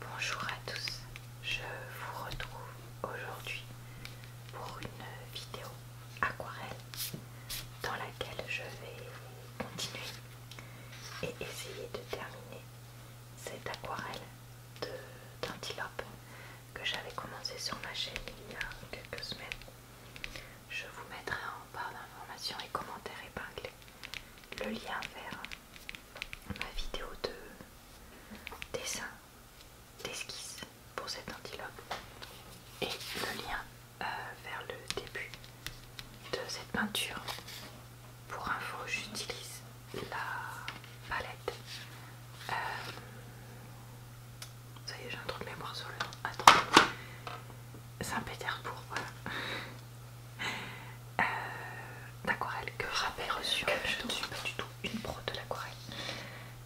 Bonjour à tous, je vous retrouve aujourd'hui pour une vidéo aquarelle dans laquelle je vais continuer et essayer de terminer cette aquarelle d'antilope que j'avais commencé sur ma chaîne il y a quelques semaines. Je vous mettrai en barre d'informations et commentaires épinglés le lien vers ma vidéo de dessin, d'esquisse pour cet antilope et le lien euh, vers le début de cette peinture. Pour info, j'utilise la palette. Euh, ça y est, j'ai un truc de mémoire sur le nom. Saint-Pétersbourg, voilà. Euh, d'aquarelle que rappelle reçu. je ne suis pas du tout une pro de l'aquarelle,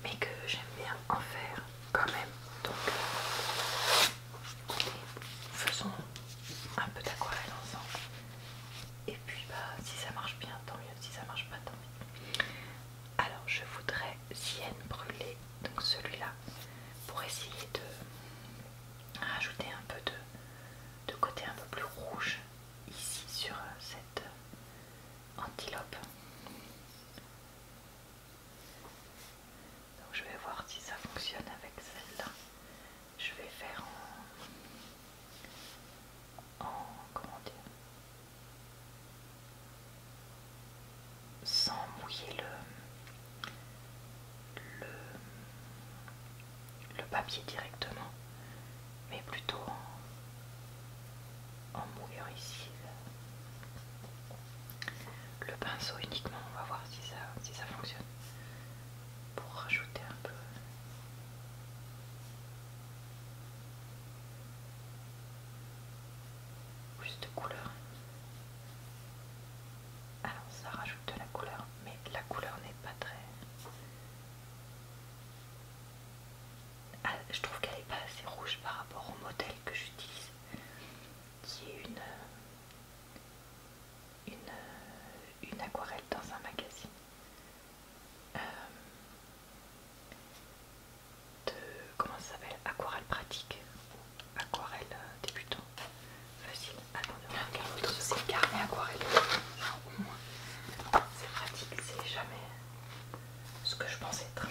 mais que j'aime bien en faire quand même. Donc, euh, faisons un peu d'aquarelle ensemble. Et puis, bah, si ça marche bien, tant mieux. Si ça marche pas, tant mieux. Alors, je voudrais Sienne brûler donc celui-là, pour essayer de rajouter un peu de, de côté un peu plus rouge ici sur euh, cette euh, antilope. Donc je vais voir si ça fonctionne avec celle-là. Je vais faire en comment dire sans mouiller le le, papier directement, mais plutôt en, mouillant ici. Le pinceau uniquement, on va voir si ça, si ça fonctionne. Pour rajouter un peu. Plus de couleur. Alors ça rajoute de la couleur, mais la couleur n'est pas très ah, je trouve qu'elle n'est pas assez rouge par rapport au modèle que j'utilise, qui est une, une, aquarelle dans un magazine euh, de comment ça s'appelle Aquarelle pratique ou aquarelle euh, débutant facile c'est aquarelle. Ah, c'est pratique, c'est jamais ce que je pensais être.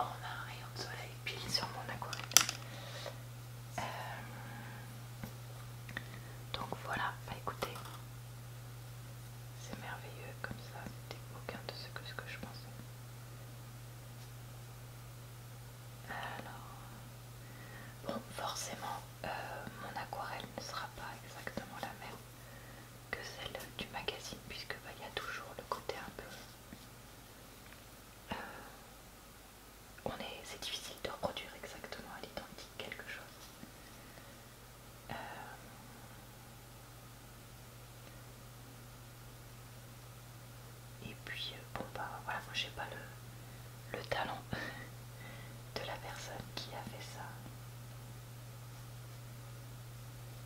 Oh, on a un rayon de soleil pile sur mon aquarelle. Euh, donc voilà, bah écoutez, c'est merveilleux comme ça, c'était aucun de ce que, ce que je pensais. Alors, bon, forcément, euh, mon aquarelle ne sera pas exactement la même que celle du magazine puisque bah, il y a toujours le côté un peu... Euh, on est, c'est difficile de reproduire exactement à l'identique quelque chose. Euh, et puis, bon bah voilà, moi j'ai pas le le talent de la personne qui a fait ça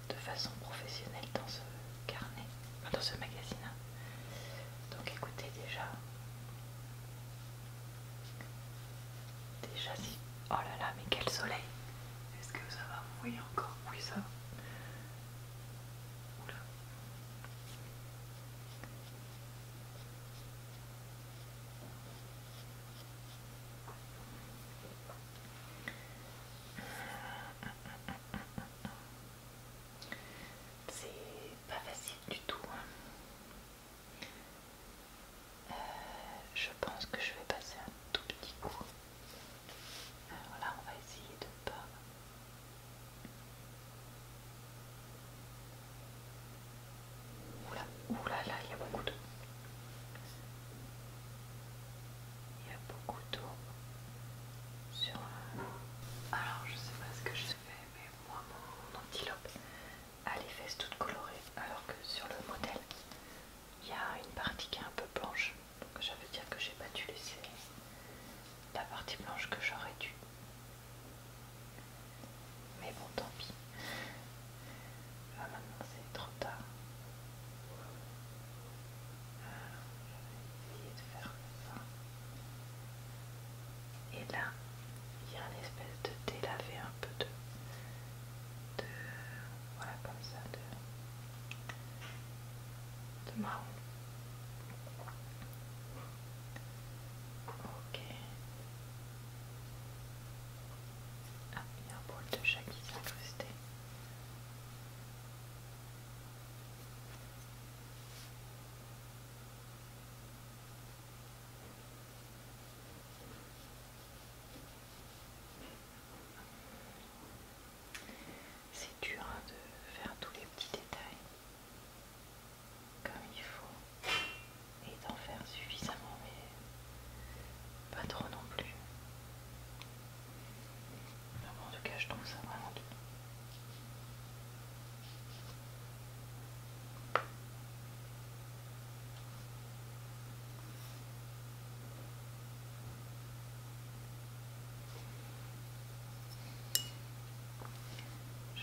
de façon professionnelle dans ce carnet, dans ce magazine. Hein. Donc écoutez déjà. Déjà si... Oh là là, mais quel soleil Est-ce que ça va mouiller encore Oui, ça Oula. C'est pas facile du tout. Hein. Euh, je pense que je vais passer un tout petit coup. Alors euh, là, on va essayer de pas Oula, oula, là, il y a beaucoup d'eau. Il y a beaucoup d'eau sur. la... Alors, je sais pas ce que je fais, mais moi, mon antilope a les fesses toutes colorées, alors que sur le modèle, il y a une partie qui est un peu blanche. Donc, ça veut dire que j'ai pas dû laisser la partie blanche que j'aurais dû. Mais bon, tant pis. Là ah, maintenant c'est trop tard. Ah, Je vais essayer de faire ça. Et là, il y a une espèce de délavé un peu de... de voilà comme ça, de, de marron. Ok. Ah, il y a un brûle de chat qui s'est C'est dur hein, de faire tous les petits détails comme il faut et d'en faire suffisamment mais pas trop non plus. En tout cache je ça vraiment Je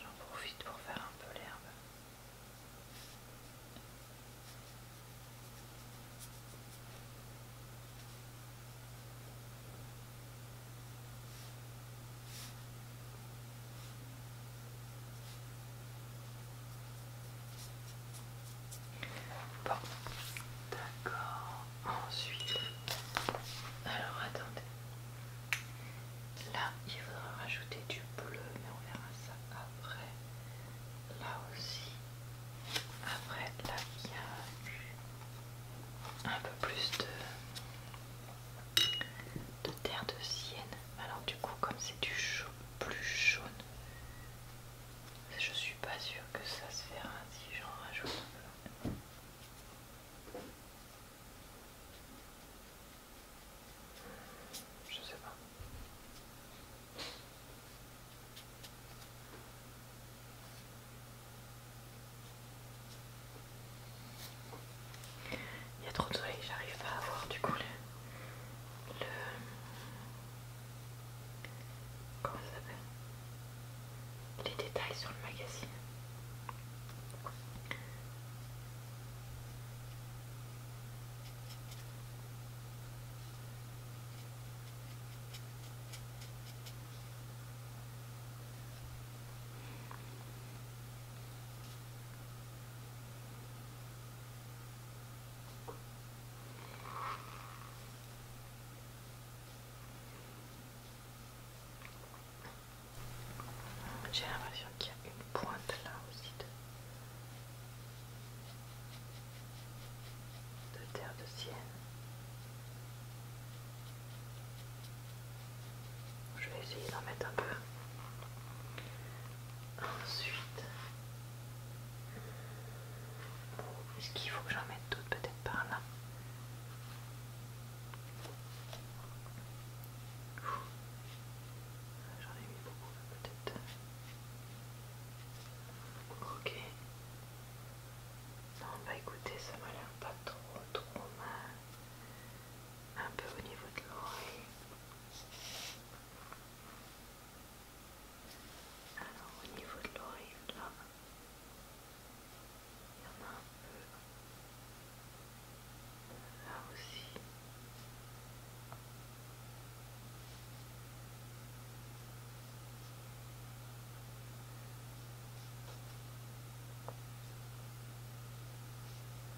J'en profite pour faire un peu l'herbe. Bon, d'accord ensuite alors attendez là il faudra rajouter du bleu mais on verra ça après là aussi après là il y a un peu plus de, de terre de sienne alors du coup comme c'est du chaud plus jaune je suis pas sûre que ça se fera si j'en rajoute un peu. Je sais pas. Il y a trop de soleil, j'arrive pas à voir du coup le. le... Comment ça s'appelle les détails sur le magazine. J'ai l'impression qu'il y a une pointe là aussi de, terre de sienne. Je vais essayer d'en mettre un peu. Ensuite, est-ce qu'il faut que j'en mette d'autres peut-être par là J'en ai mis beaucoup peut-être. Ok. Non, bah écoutez, ça m'a l'air pas trop trop mal. Un peu au niveau de l'oreille. Alors au niveau de l'oreille, là, il y en a un peu là aussi.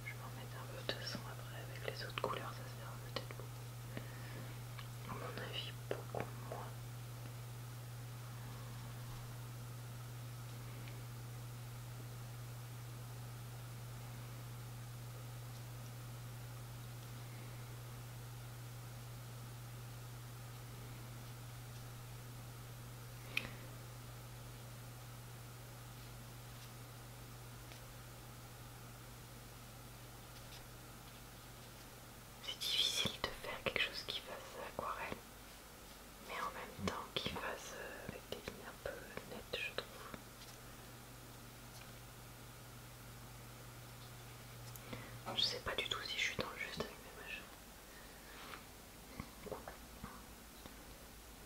Je vais en mettre un peu de son après avec les autres couleurs, ça sert peut-être beaucoup. À mon avis, beaucoup moins. C'est difficile de faire quelque chose qui fasse aquarelle mais en même temps qu'il fasse euh, avec des lignes un peu nettes, je trouve. Je sais pas du tout si je suis dans le juste avec mes machins.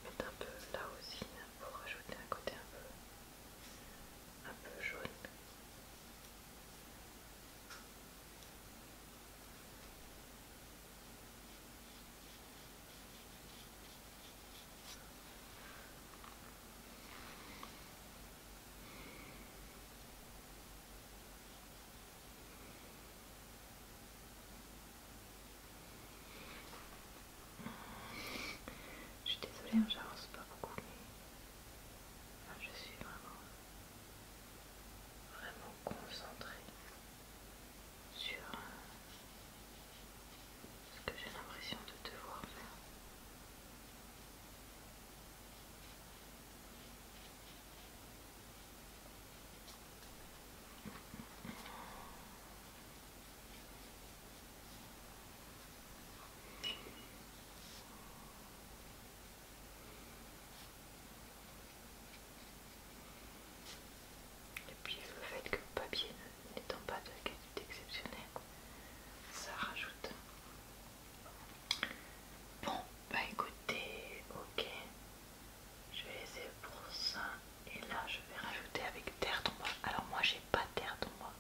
Mettre un peu là aussi pour rajouter un côté un peu, un peu jaune. Je suis désolée, hein, j'avance pas beaucoup, mais je suis vraiment, vraiment concentrée sur euh, ce que j'ai l'impression de devoir faire. Et puis le fait que le papier n'étant pas de qualité exceptionnelle, ça rajoute. Bon, bah écoutez, ok. Je vais laisser pour ça. Et là, je vais rajouter avec terre d'ombre Alors moi, j'ai pas terre d'ombre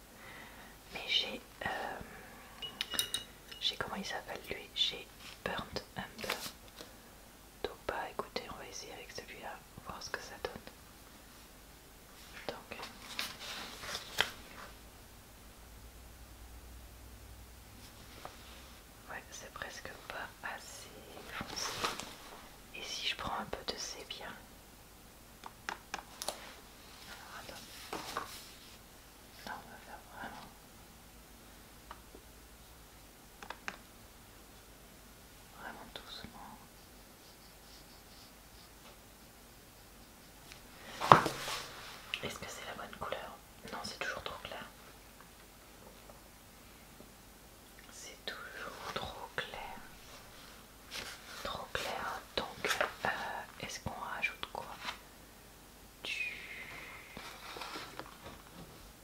mais j'ai, euh, j'ai comment il s'appelle lui J'ai burnt umber. Donc pas écoutez, on va essayer avec celui-là, voir ce que ça donne. Donc. Ouais, c'est presque pas assez foncé. Et si je prends un peu de c'est bien. Alors, va faire Vraiment doucement. Est-ce que c'est la bonne couleur Non, c'est toujours trop clair. C'est toujours trop clair. Trop clair. Donc, euh, est-ce qu'on rajoute quoi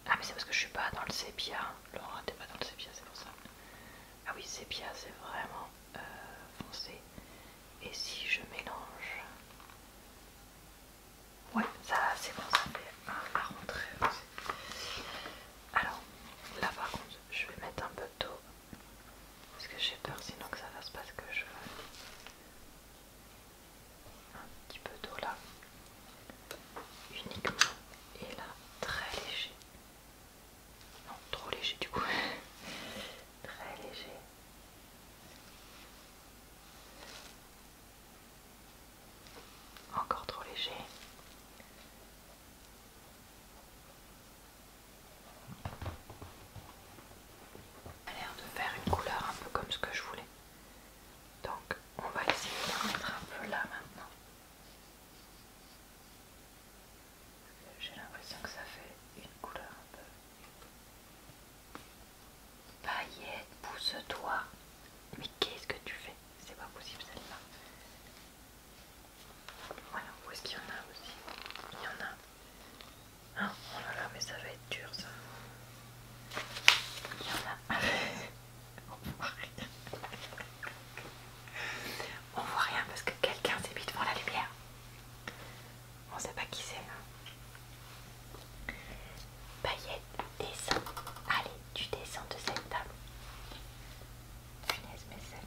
ah mais c'est parce que je suis pas dans le sépia. Laura, t'es pas dans le sépia, c'est pour ça. Ah oui, sépia, c'est vraiment euh, foncé. Et si je mélange... Ouais, ça c'est bon, ça à rentrer aussi. Alors, là par contre, je vais mettre un peu d'eau. Parce que j'ai peur sinon que ça fasse pas ce que je veux un petit peu d'eau là uniquement et là très léger non trop léger du coup très léger encore trop léger Elle l'air de faire une couleur un peu comme ce que je voulais donc on va essayer de mettre un peu là maintenant. J'ai l'impression que ça fait une couleur un peu. Paillette, pousse-toi. Mais qu'est-ce que tu fais C'est pas possible celle-là. Voilà, où est-ce qu'il y en a aussi Il y en a. Ah, oh là là, mais ça va être dur ça. Il y en a. On On voit rien parce que quelqu'un s'est mis devant la lumière. On sait pas qui c'est. Hein. Payette, descends. Allez, tu descends de cette table. mais celle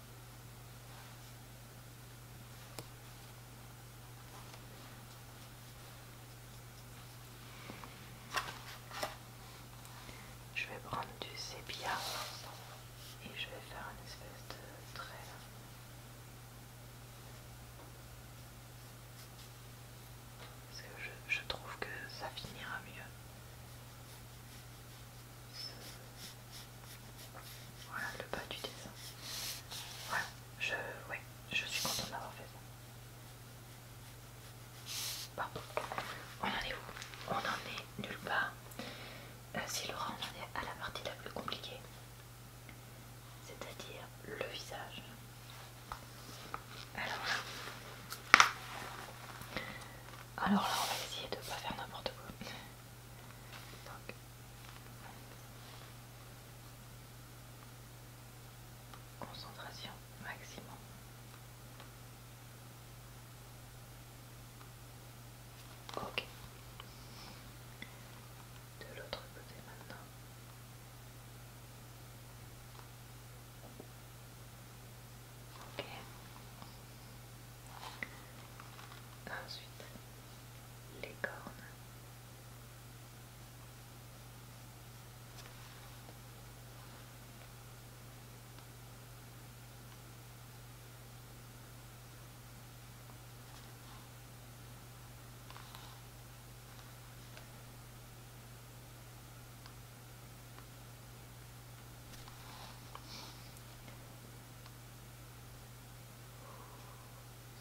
Je vais prendre du sépia et je vais faire une espèce de trait. Parce que je trouve que ça finira mieux. Voilà le bas du dessin. Voilà, je, je suis contente d'avoir fait ça. Bon, On en est où On en est nulle part. Euh, si Laura, on en est à la partie la plus compliquée. C'est-à-dire le visage. Alors là. Alors là, on va essayer de ne pas faire n'importe quoi. Concentration maximum. Ok. De l'autre côté maintenant. Ok. Ensuite, les cornes.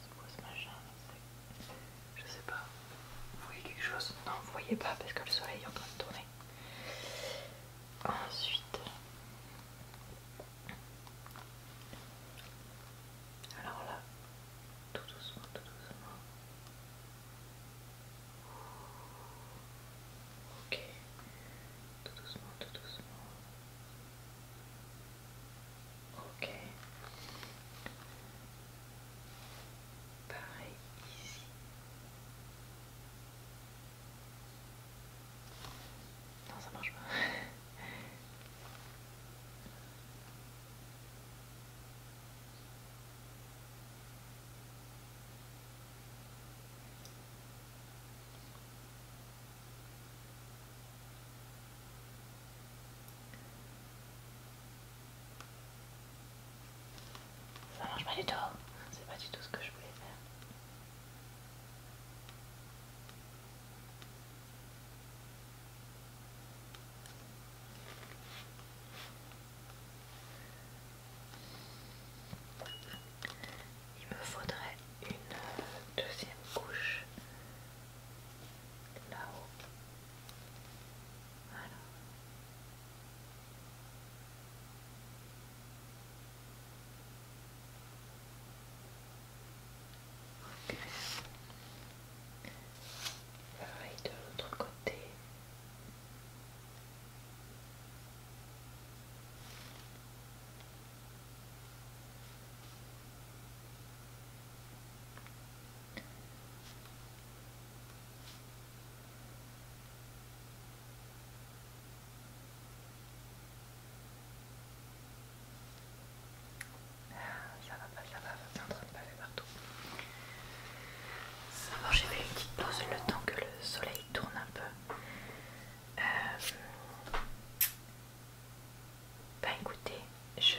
C'est quoi ce machin Je sais pas. Vous voyez quelque chose Non, vous voyez pas parce que le soleil est en train de tourner. Ensuite. Alors là, tout doucement, tout doucement. Ok, tout doucement, tout doucement. Ok. Pareil ici. Non, ça marche pas. Ça marche pas du tout, c'est pas du tout ce que je voulais faire il me faudrait une euh, deuxième couche là-haut. Voilà. de l'autre côté. Ah, ça va pas, ça va, c'est en train de baller partout. j'ai fait une petite pause le temps que le soleil tourne un peu. Euh, pas bah, écoutez, je...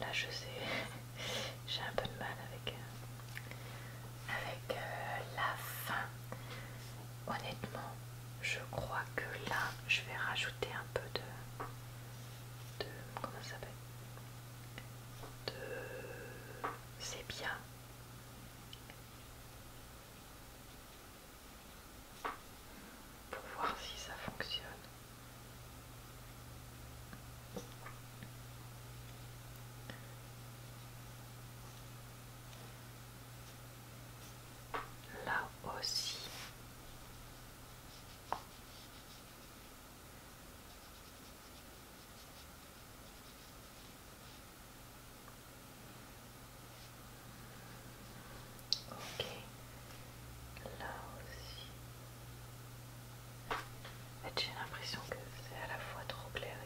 Là je sais, j'ai un peu de mal avec, euh, euh, la fin. Honnêtement, je crois que là, je vais rajouter un peu de... de comment ça s'appelle De... C'est bien pour voir si ça fonctionne. Là aussi. Ok, là aussi. J'ai l'impression que c'est à la fois trop clair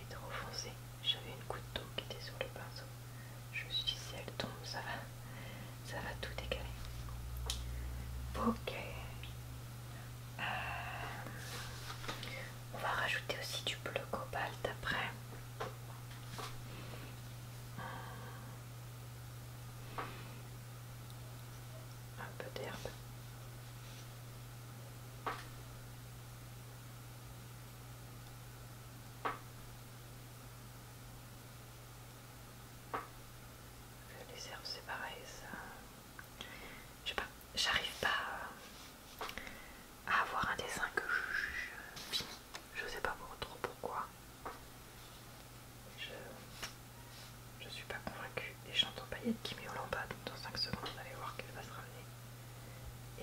et, trop foncé. J'avais une goutte d'eau qui était sur le pinceau. Je me suis dit si elle tombe, ça va, ça va tout décaler. Ok. Euh, on va rajouter aussi du bleu cobalt après. Euh, un peu d'herbe. Les herbes, c'est pareil, ça. Je sais pas, j'arrive pas euh, à avoir un dessin que je juge Je sais pas trop pourquoi. Je, je suis pas convaincue. Et j'entends Paillette qui met en bas, donc dans 5 secondes, va aller voir qu'elle va se ramener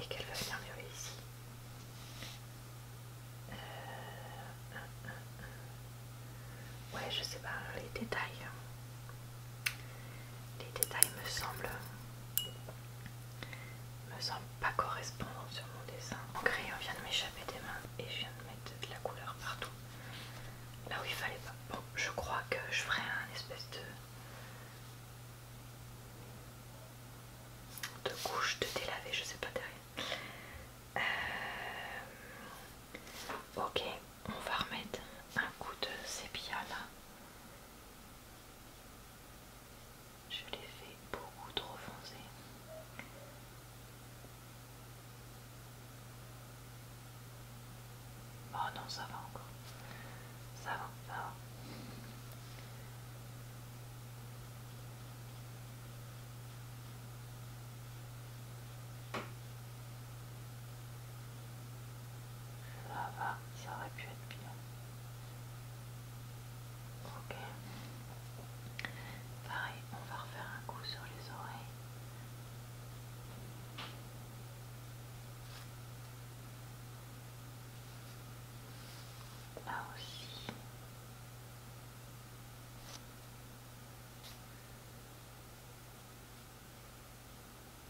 et qu'elle va venir ici. Euh, ouais, je sais pas les détails. Hein. Les détails me semblent, me semblent pas correspondre sur mon dessin. Mon crayon vient de m'échapper des mains et je viens de mettre de la couleur partout. Là où il fallait pas. Bon, je crois que je ferai un espèce de, de couche de délavé, je sais pas derrière. Euh, ok, on va remettre un coup de sépia là. Je l'ai fait beaucoup trop foncé. Oh non, ça va encore. Ça va, ça va. Ça va, ça aurait pu être bien. Ok. Pareil, on va refaire un coup sur les oreilles. Là aussi.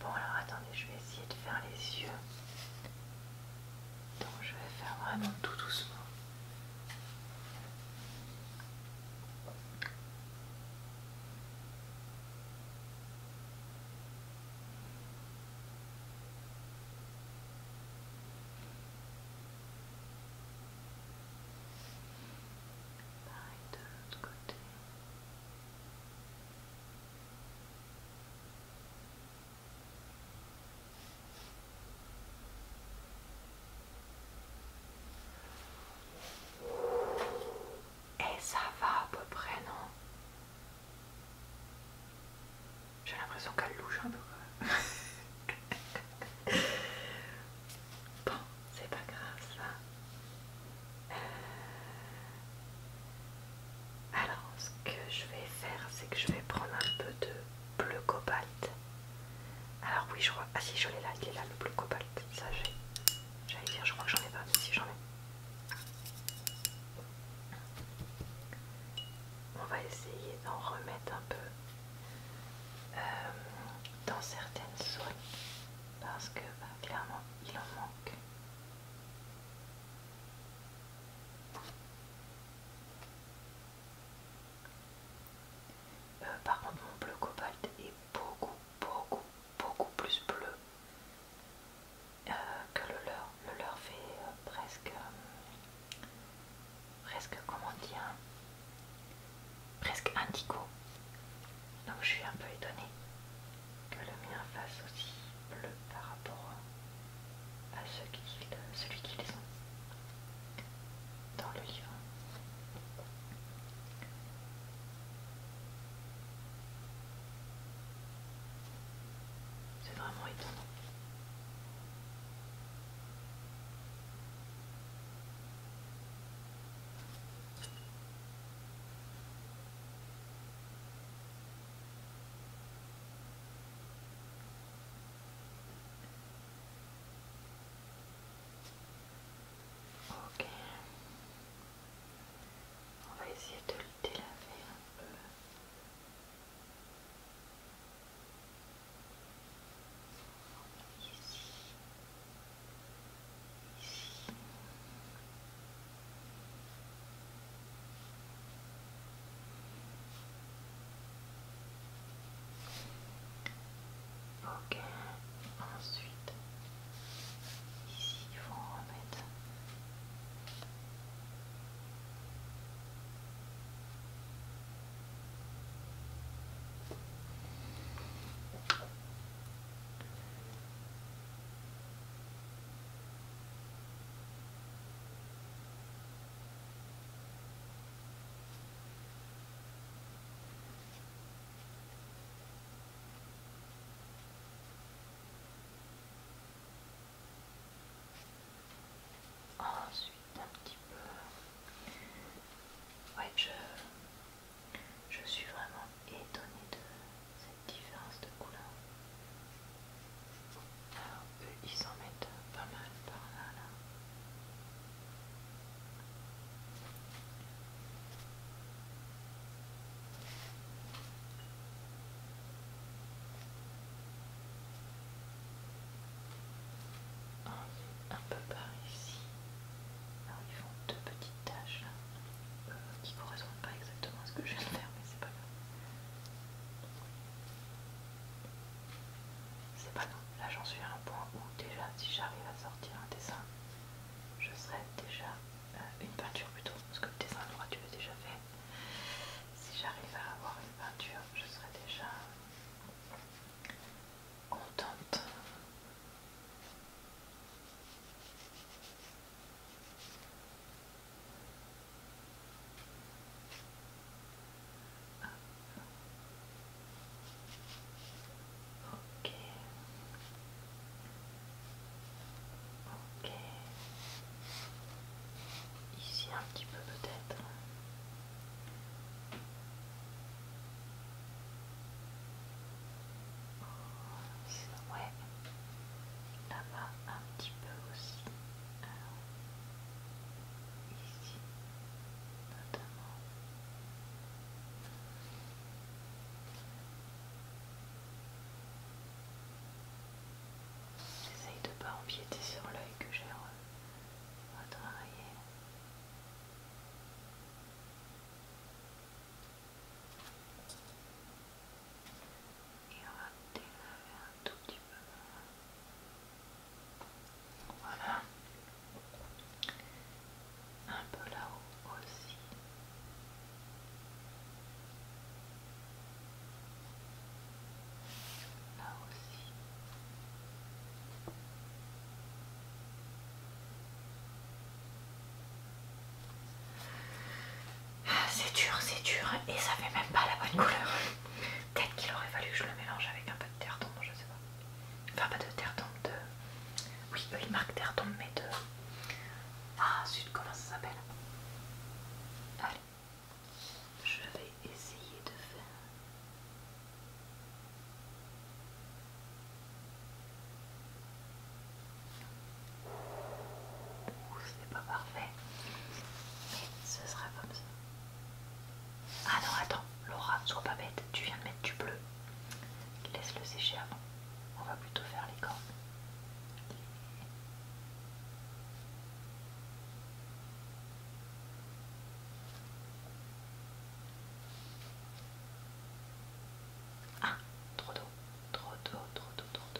Bon alors attendez, je vais essayer de faire les yeux. Donc je vais faire vraiment tout doucement. Pareil de l'autre côté. Et ça va à peu près, non J'ai l'impression qu'elle louche un peu bon, c'est pas grave ça alors, ce que je vais faire, c'est que je vais prendre un peu de bleu cobalt. Alors oui, je crois... Ah si, je l'ai là, il est là, le bleu cobalt. Ça, J'allais dire, je crois que j'en ai pas, mais si, j'en ai. On va essayer d'en remettre un peu euh, dans certaines zones parce que bah, clairement il en manque. Euh, par contre, mon bleu cobalt est beaucoup, beaucoup, beaucoup plus bleu euh, que le leur. Le leur fait euh, presque, presque, comment dire, presque indigo. Donc je suis un peu étonnée que le mien fasse aussi bleu par rapport à celui qu'ils ont dans le livre. C'est vraiment étonnant on va essayer de le délaver un peu. Ok, ensuite ici faut en remettre Ensuite, un petit peu. Ouais, je, je suis vraiment étonné de cette différence de couleur. Alors, eux, ils s'en mettent pas mal par là, là. Ah, un peu par ici. Alors, ils font deux petits tâches euh, qui correspondent pas exactement à ce que je viens de faire, mais c'est pas grave. C'est pas grave, là j'en suis à un point où déjà si j'arrive à sortir un dessin, je serai déjà euh, une peinture plutôt, parce que le dessin droit tu l'as déjà fait. Si j'arrive à avoir une peinture, je serai déjà contente. Ok. Ok. Ici un petit peu peut-être. Ouais, là-bas un petit peu aussi. Alors, ici, notamment. J'essaie de pas empiéter sur l'œil que j'ai retravaillé et on va un tout petit peu. Voilà. Un peu là-haut aussi. Là aussi. C'est dur, c'est dur, et ça fait même pas la bonne couleur. Peut-être qu'il aurait fallu que je le mélange avec un peu de terre tombe, je sais pas. Enfin, pas de terre tombe, de. Oui, eux ils marquent terre tombe, mais de. Ah, zut, comment ça s'appelle Allez, je vais essayer de faire. C'est pas parfait, mais ce sera comme ça. Ah non, attends, Laura, sois pas bête, tu viens de mettre du bleu. Laisse-le sécher avant. On va plutôt faire les cornes. Ah, trop d'eau, trop d'eau, trop d'eau, trop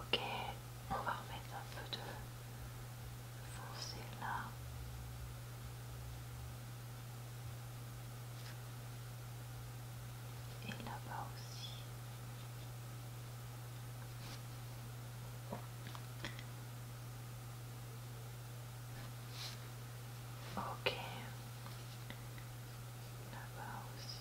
Ok, on va remettre un peu de foncé là. Et là-bas aussi. Ok là aussi.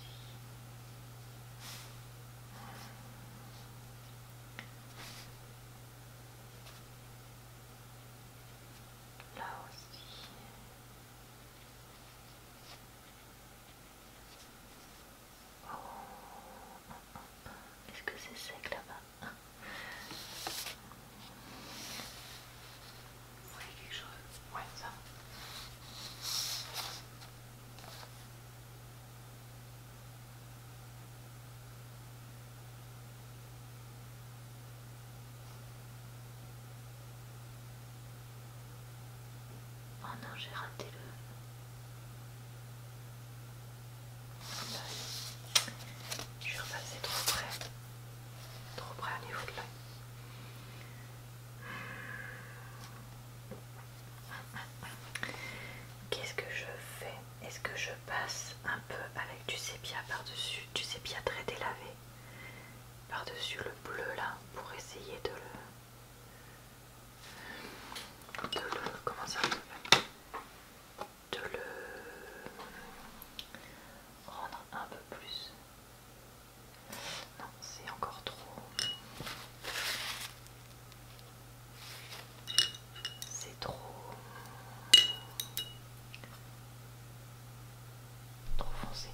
Là aussi. Oh, hum, hum, hum. Est-ce que c'est sec là-bas vous voyez quelque chose Ouais, ça. Oh non, j'ai raté le... Je suis repassée trop près, trop près à niveau de là. Qu'est-ce que je fais Est-ce que je passe un peu avec du sépia par-dessus, du sépia très délavé, par-dessus le bleu là, pour essayer de le... de le... comment ça De le... rendre un peu plus non, c'est encore trop. C'est trop. Trop foncé.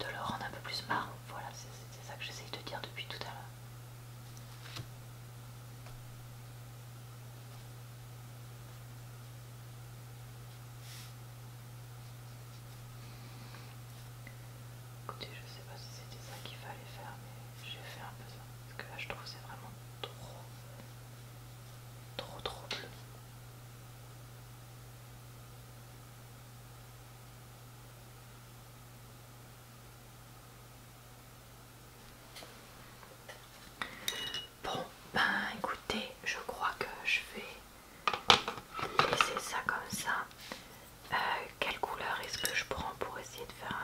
De le rendre un peu plus marre, Voilà, c'est ça que j'essaye de dire depuis tout à l'heure. Écoutez, je sais pas si c'était ça qu'il fallait faire, mais j'ai fait un peu ça. Parce que là, je trouve c'est vraiment trop, trop, trop bleu. Bon, ben écoutez, je crois que je vais laisser ça comme ça. Euh, quelle couleur est-ce que je prends pour essayer de faire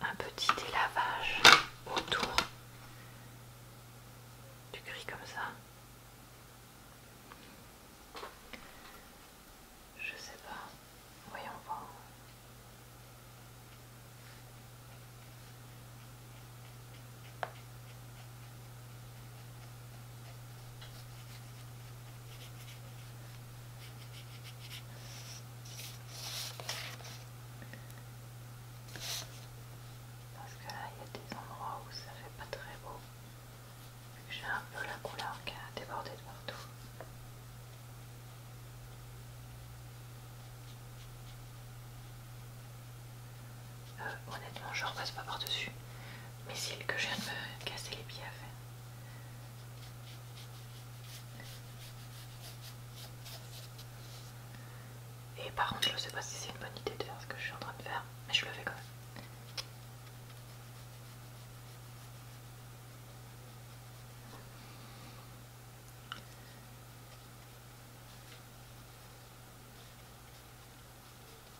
un, un petit délavage autour du gris comme ça Je sais pas. Voyons voir. Parce que là, il y a des endroits où ça fait pas très beau. J'ai un peu la couleur qui a débordé de partout. Euh, honnêtement, je repasse pas par-dessus. Mais c'est que je viens de me casser les pieds à faire. Et par contre, je sais pas si c'est une bonne idée de faire ce que je suis en train de faire, mais je le fais quand même.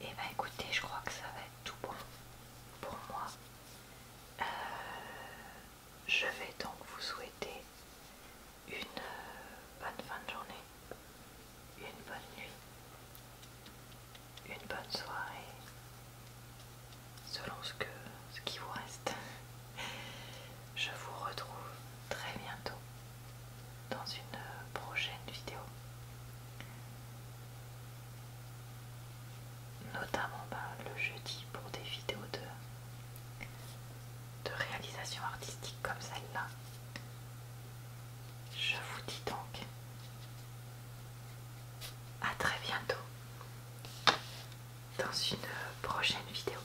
Et eh bah ben, écoutez, je crois que ça va être tout bon pour moi. Euh, je vais donc vous souhaiter une euh, bonne fin de journée, une bonne nuit, une bonne soirée, selon ce, que, ce qui vous reste. Je vous retrouve très bientôt dans une euh, prochaine vidéo. Notamment bah, le jeudi pour des vidéos de, de réalisation artistique comme celle-là. Je vous dis donc à très bientôt dans une euh, prochaine vidéo.